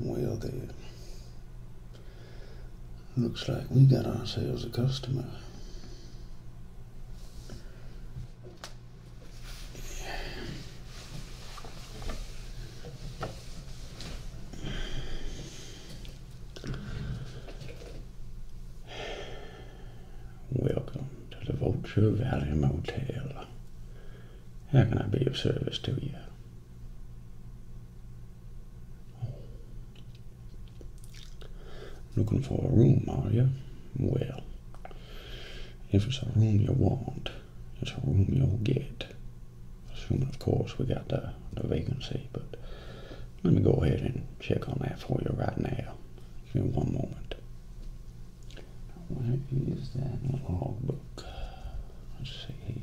Well then, Looks like we got ourselves a customer. Welcome to the Vulture Valley Motel. How can I be of service to you? Looking for a room, are you? Well, if it's a room you want, it's a room you'll get. Assuming, of course, we got the, the vacancy, but let me go ahead and check on that for you right now. Give me one moment. Where is that logbook? Let's see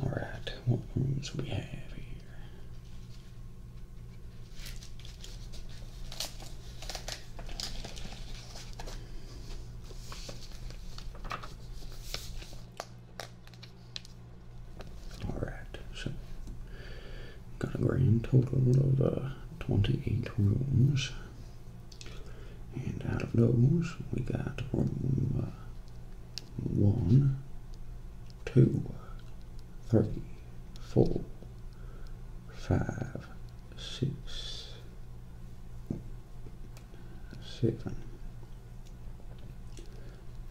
All right, what rooms we have here? All right, so got a grand total of uh, 28 rooms. And out of those, we got room uh, one, two, three, four, five, six, seven,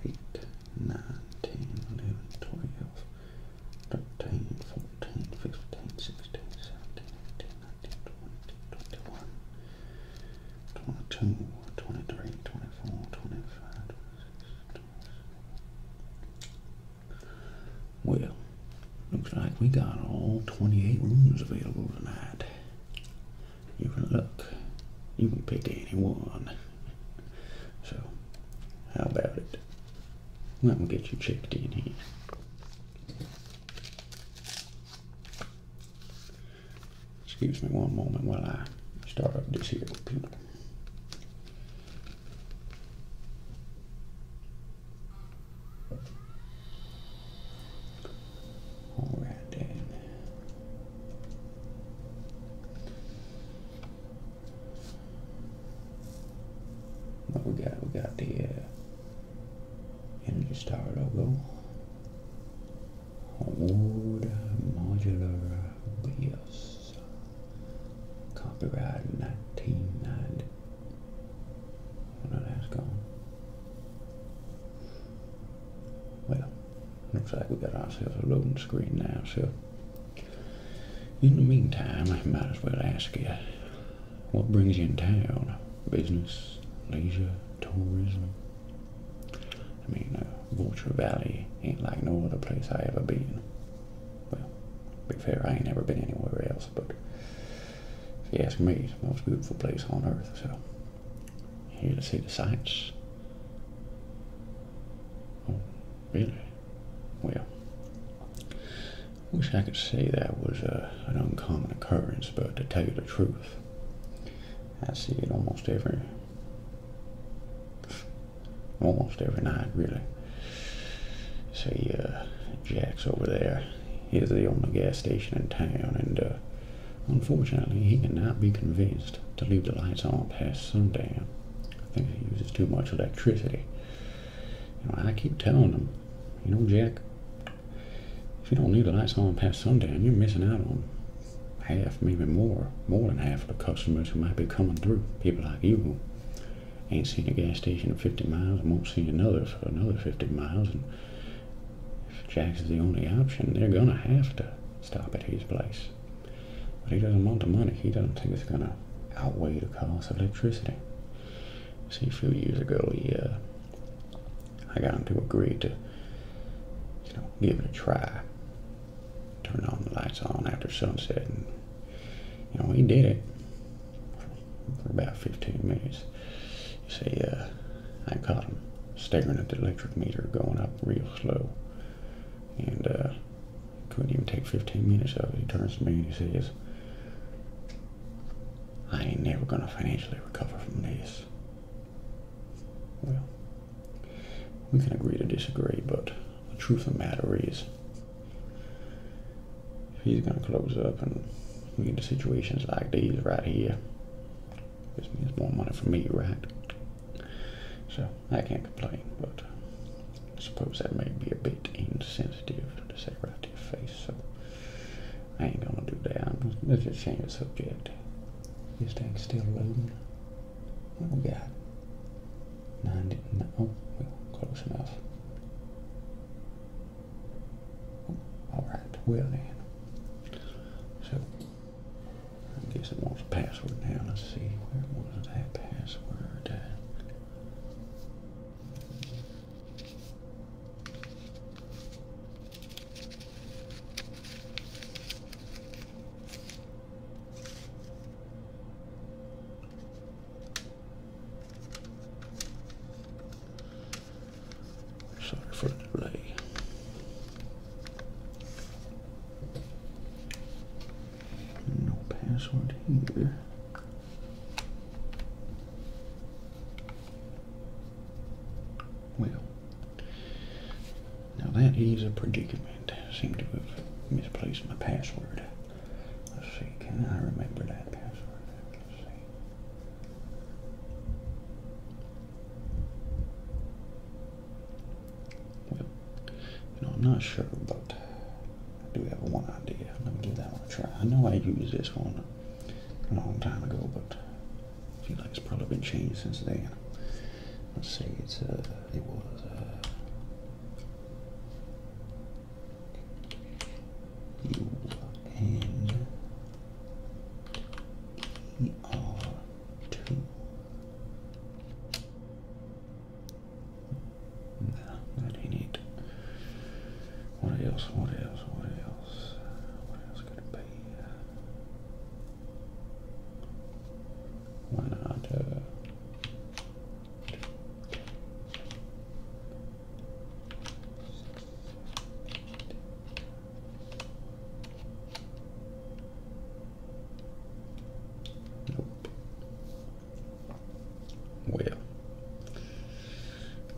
eight, nine, ten, eleven, twelve. 13, 14, 15, 16, 17, 18, 19, 20, 21, 22, 23, 24, 25, 26, Well, looks like we got all 28 rooms available tonight. You can look. You can pick any one. So, how about it? Let me get you checked in here. Excuse me one moment while I start up this here computer. Alright then. What we got? We got the uh, Energy Star logo. Old modular BIOS. Uh, Copyright 1990. Oh that's gone. Well, looks like we got ourselves a loading screen now, so in the meantime, I might as well ask you what brings you in town? Business, leisure, tourism? I mean, uh, Vulture Valley ain't like no other place I ever been. Well, to be fair, I ain't ever been anywhere else, but if you ask me, it's the most beautiful place on earth, so here to see the sights. Oh, really? Well, I wish I could say that was an uncommon occurrence, but to tell you the truth, I see it almost every, almost every night, really. See, uh, Jack's over there. He's the only gas station in town, and uh, unfortunately, he cannot be convinced to leave the lights on past sundown. I think he uses too much electricity. You know, I keep telling them, you know, Jack, if you don't need the lights on past sundown, you're missing out on half, maybe more, more than half of the customers who might be coming through. People like you who ain't seen a gas station in 50 miles and won't see another for another 50 miles. And if Jack's the only option, they're going to have to stop at his place. But he doesn't want the money. He doesn't think it's going to outweigh the cost of electricity. See, a few years ago, he, uh, I got him to agree to, you know, give it a try. Turn on the lights on after sunset, and you know, he did it for about 15 minutes. You see, uh, I caught him staring at the electric meter going up real slow, and uh, couldn't even take 15 minutes of it. He turns to me and he says, I ain't never going to financially recover from this. Well, we can agree to disagree, but the truth of the matter is, if he's going to close up and we get to situations like these right here, this means more money for me, right? So I can't complain, but I suppose that may be a bit insensitive to say right to your face, so I ain't gonna do that. I'm just, let's just change the subject. This thing's still loading. Oh God! got? no, oh, well, close enough. Oh, Alright, well then. So, I guess it wants a password now. Let's see, where was that password? Sorry for the delay. No password here. Well, now that is a predicament. I seem to have misplaced my password. Let's see, can I remember that password? Let's see. Well, you know, I'm not sure, about. I do have one idea. Let me give that one a try. I know I used this one a long time ago, but I feel like it's probably been changed since then. Let's see, it's uh, it was. Uh, U N E R two no, that ain't What else? What else? What else? What else could it be? Why not? Uh, nope. Well,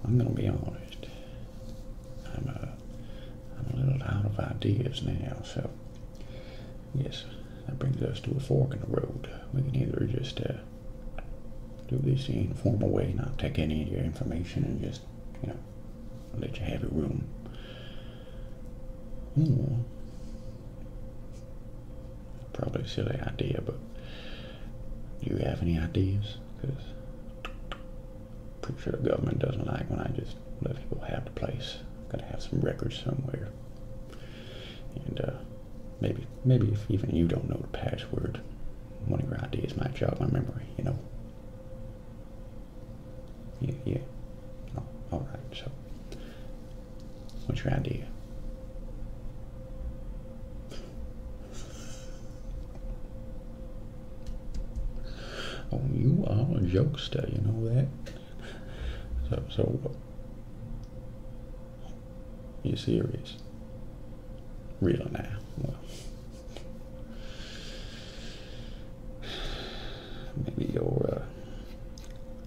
I'm going to be honest. I'm a, I'm a little out of ideas now, so yes, that brings us to a fork in the road. We can either just uh, do this in a formal way, not take any of your information, and just, you know, let you have your room. Or Probably a silly idea, but do you have any ideas? Because pretty sure the government doesn't like when I just let people have the place. Gotta have some records somewhere, and uh, maybe maybe even you don't know the password, Money of your ideas might jog my memory. You know. Yeah, oh, all right. So which round are you? Oh, you are a jokester, you know that? So, so what? You serious? Real now? Well, maybe your uh,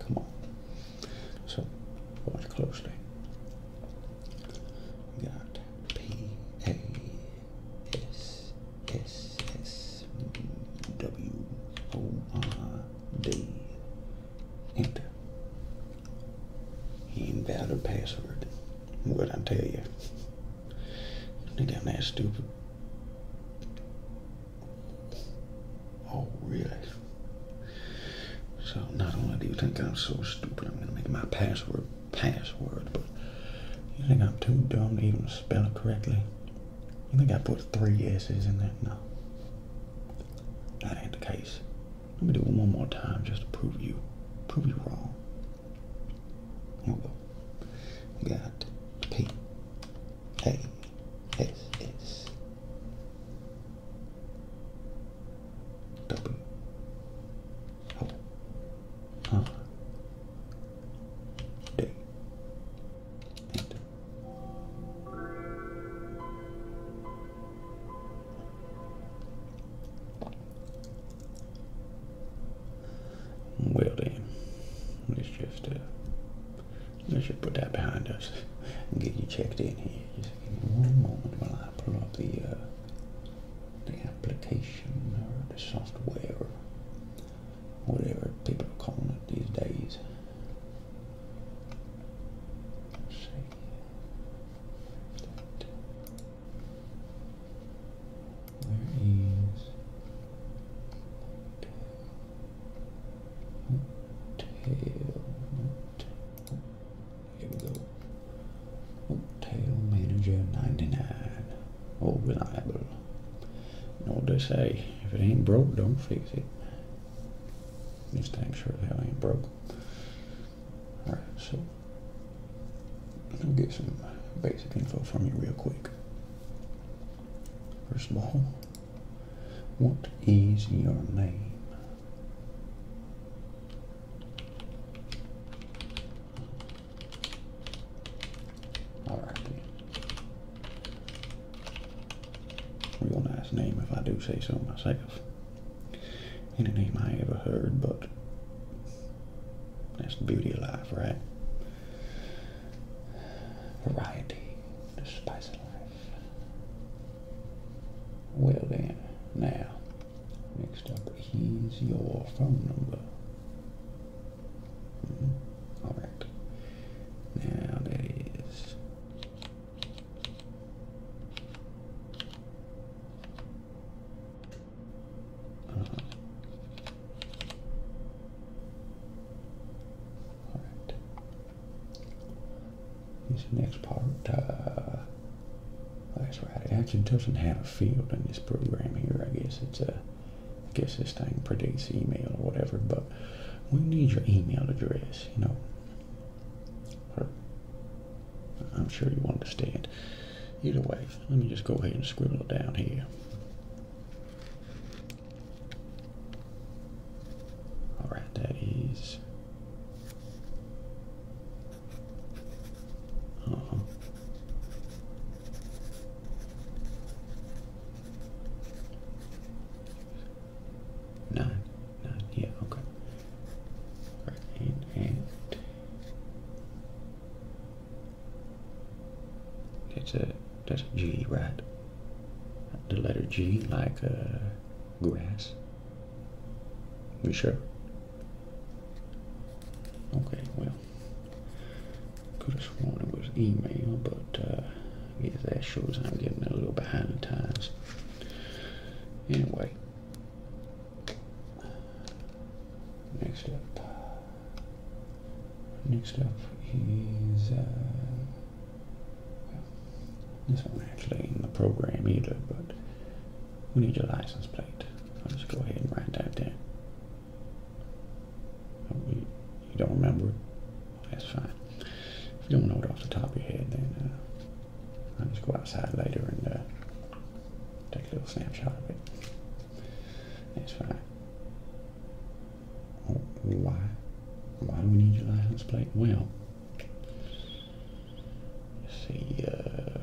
Come on. So watch closely. We got P A S S S W O R D. Enter. Invalid password. What I tell you. Nigga, I'm that stupid. Oh, really? So not only do you think I'm so stupid, I'm gonna make my password password, but you think I'm too dumb to even spell it correctly? You think I put three S's in there? No. That ain't the case. Let me do it one more time just to prove you. Prove you wrong. Here oh, we go. got P Hey, yes, yes. Double. just uh, Let's just put that behind us and get you checked in here. Just give me one moment while I pull up the uh, the application or the software or whatever people are calling it these days. theres Tail, here we go. Tail Manager 99. Oh, reliable. You know what they say? If it ain't broke, don't fix it. This thing sure as hell ain't broke. Alright, so let me get some basic info from you real quick. First of all, what is your name? Alrighty. Real nice name if I do say so myself. Any name I ever heard, but that's the beauty of life, right? Variety, the spice of life. Well then, now, next up is your phone number. Mm-hmm. All right. Now that is all right. Here's the next part. that's uh, right. It actually doesn't have a field in this program here. I guess it's a. I guess this thing predicts email or whatever. But we need your email address. You know. I'm sure you understand. Either way, let me just go ahead and scribble it down here. All right, that is. Uh yeah, okay. Right, and, and that's a that's a G, right? The letter G, like uh, grass. You sure? Okay, well, could have sworn it was email, but uh, that shows I'm getting a little behind the times. Anyway, next up. Next up is uh, this one actually in the program either, but we need your license plate. I'll just go ahead and write that down. Oh, you, don't remember That's fine. If you don't know it off the top of your head, then uh, I'll just go outside later and uh, take a little snapshot of it. That's fine. why? Why do we need your license plate? Well, let see. Uh,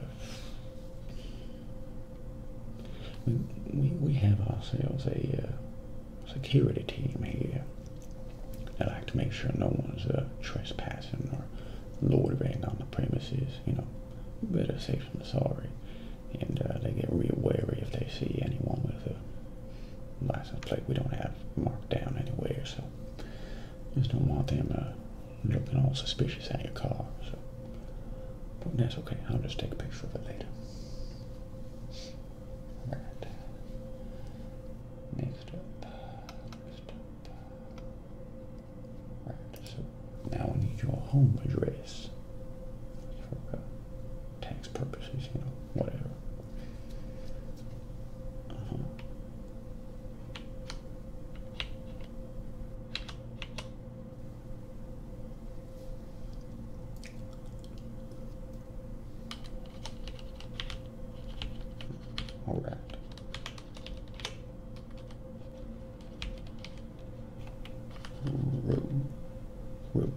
we, we have ourselves a uh, security team here. They like to make sure no one's uh, trespassing or loitering on the premises. You know, better safe than sorry and uh, they get real wary if they see anyone with a license plate we don't have marked down anywhere. So just don't want them uh, looking all suspicious at your car. So, but that's okay. I'll just take a picture of it later. All right. Next up. Next So now I need your home address for uh, tax purposes, you know, whatever. Uh-huh. All right row, row.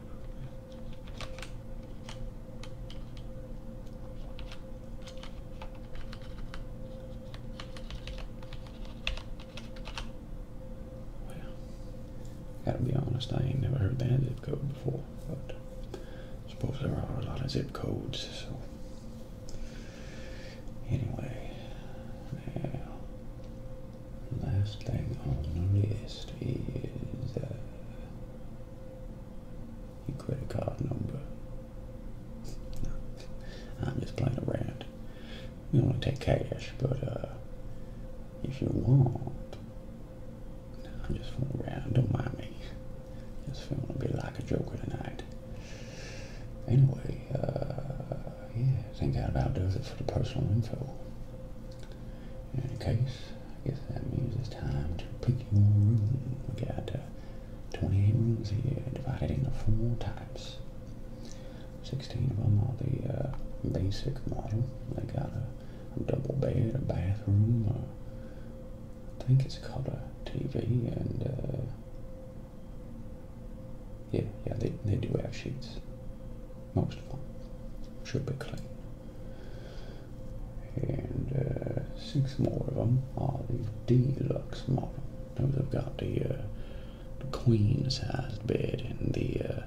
gotta be honest, I ain't never heard that zip code before, but I suppose there are a lot of zip codes, so anyway, now last thing on the list is uh, your credit card number. I'm just playing around. We only take cash, but uh, if you want, I'm just fooling around. Don't mind me. Just feeling a bit like a joker tonight. Anyway, uh, yeah, I think that about does it for the personal info. In any case, I guess that means it's time to pick your room. We got uh, 28 rooms here, divided into four types. 16 of them are the uh, basic model. They got a, double bed, a bathroom, I think it's called a TV, and uh, yeah, yeah, they, they do have sheets. Most of them should be clean. And uh, six more of them are the deluxe model. Those have got the, uh, the queen-sized bed and the uh,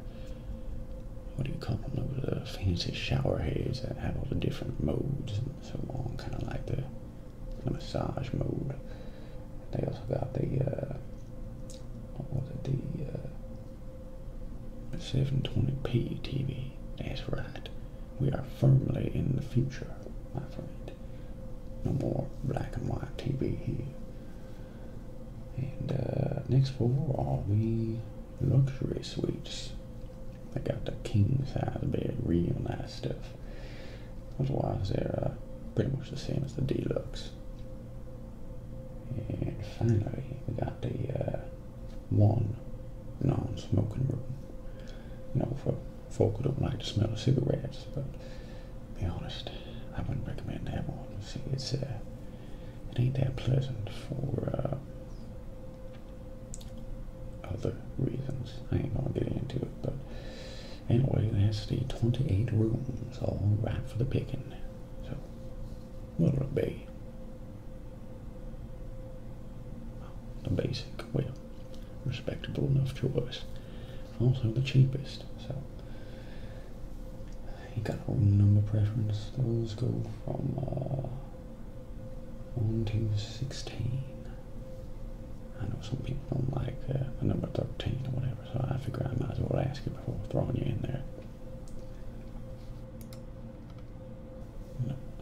what do you call them? Those fancy shower heads that have all the different modes and so on, kind of like the, the massage mode. They also got the uh, what was it? The uh, 720p TV. That's right. We are firmly in the future, my friend. No more black and white TV here. And uh, next floor are the luxury suites. They got the king size bed, real nice stuff. Otherwise, they're pretty much the same as the deluxe. And finally, we got the uh, one non-smoking room. You know, for folk who don't like the smell of cigarettes, but be honest, I wouldn't recommend that one. See, it's uh, it ain't that pleasant for uh, other reasons. I ain't gonna get into it, but Anyway, that's the 28 rooms, all right for the picking. So, what'll it be? The basic, well, respectable enough choice. Also the cheapest, so. You got a room number preference. Those go from uh, 1 to 16. I know some people don't like uh, number 13 or whatever so I figure I might as well ask you before throwing you in there.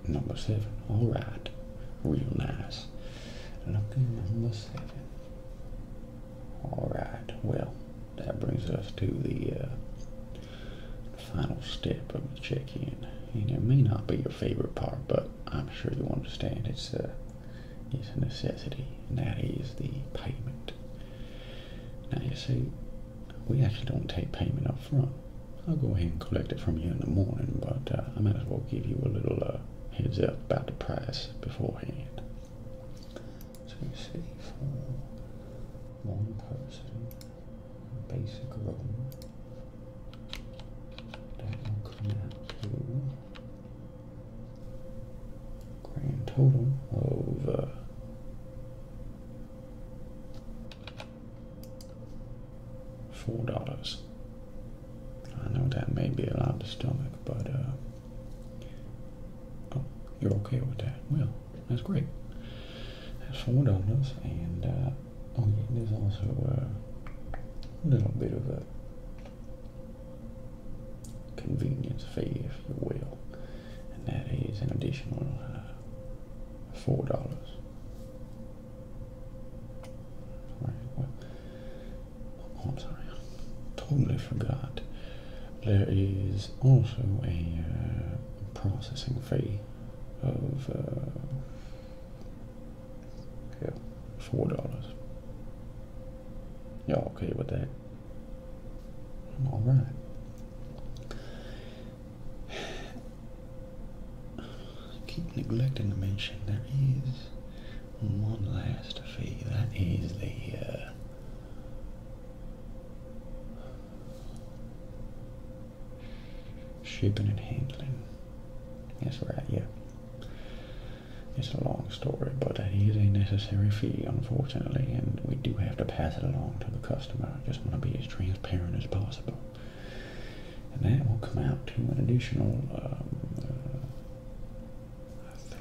number seven. All right. Real nice. Lucky number seven. All right. Well, that brings us to uh, the final step of the check-in. And it may not be your favorite part, but I'm sure you will understand. It's uh, it's a necessity, and that is the payment. Now, you see, we actually don't take payment up front. I'll go ahead and collect it from you in the morning, but uh, I might as well give you a little uh, heads up about the price beforehand. So you see, for one person, basic room, that will out to Grand total of uh, four dollars. I know that may be a lot to stomach, but uh, oh, you're okay with that? Well, that's great. That's four dollars, and uh, oh, there's also a little bit of a convenience fee, if you will, and that is an additional uh, four dollars. Right, well, oh, I'm sorry, totally forgot. There is also a uh, processing fee of uh, four dollars. Y'all okay with that? All right. keep neglecting to mention there is one last fee. That is the. Uh, Shipping and handling. Yes, we're at you. It's a long story, but it is a necessary fee, unfortunately, and we do have to pass it along to the customer. just want to be as transparent as possible. And that will come out to an additional um, uh,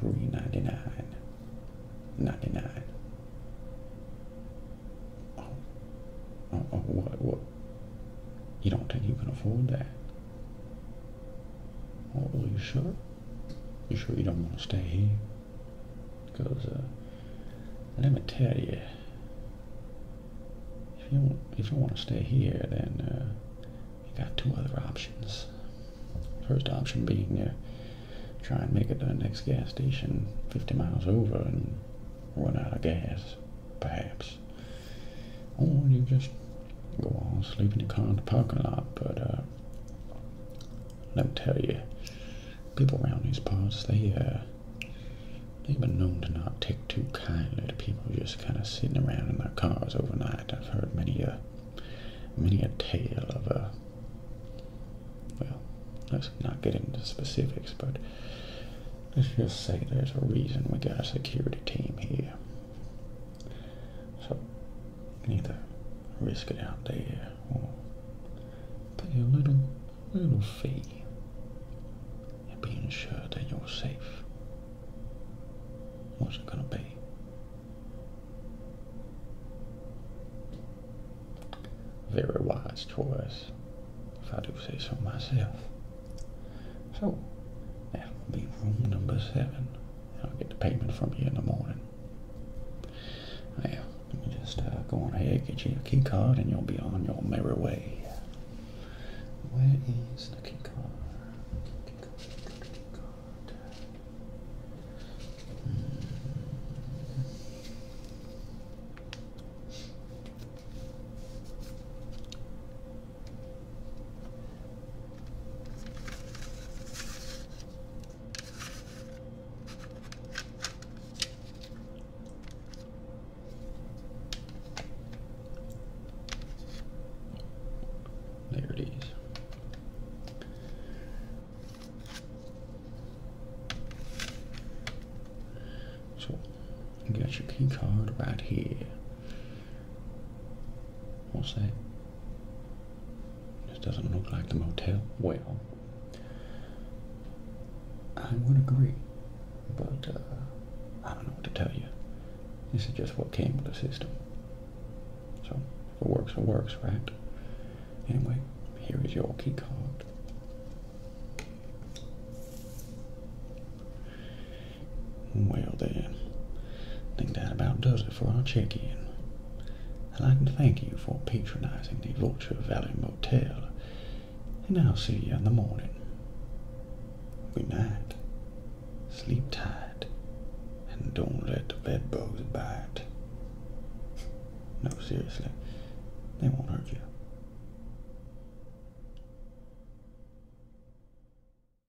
nine. Ninety nine. Oh, oh, oh, what? What? You don't think you can afford that? Oh, are you sure? You sure you don't want to stay here? Because, uh, let me tell you, if you, if you want to stay here, then uh, you got two other options. First option being to uh, try and make it to the next gas station 50 miles over and run out of gas, perhaps. Or you just go on sleep in the car in the parking lot, but let me tell you, people around these parts, they, uh, they've been known to not take too kindly to people just kind of sitting around in their cars overnight. I've heard many a, uh, many a tale of a, uh, well, let's not get into specifics, but let's just say there's a reason we got a security team here. So Either risk it out there or pay a little, little fee and be ensured that you're safe. What's it gonna be? Very wise choice, if I do say so myself. So, that will be room number seven. I'll get the payment from you in the morning. Oh, yeah, let me just uh, go on ahead, get you a key card, and you'll be on your merry way. Where is the key card? Hmm. There it is. So, you got your key card right here. What's that? This doesn't look like the motel. Well, I would agree, but uh, I don't know what to tell you. This is just what came with the system. So, if it works, it works, right? Anyway, here is your key card. Well then, think that about does it for our check-in. I'd like to thank you for patronizing the Vulture Valley Motel, and I'll see you in the morning. Good night. Sleep tight, and don't let the bedbugs bite. No, seriously, they won't hurt you.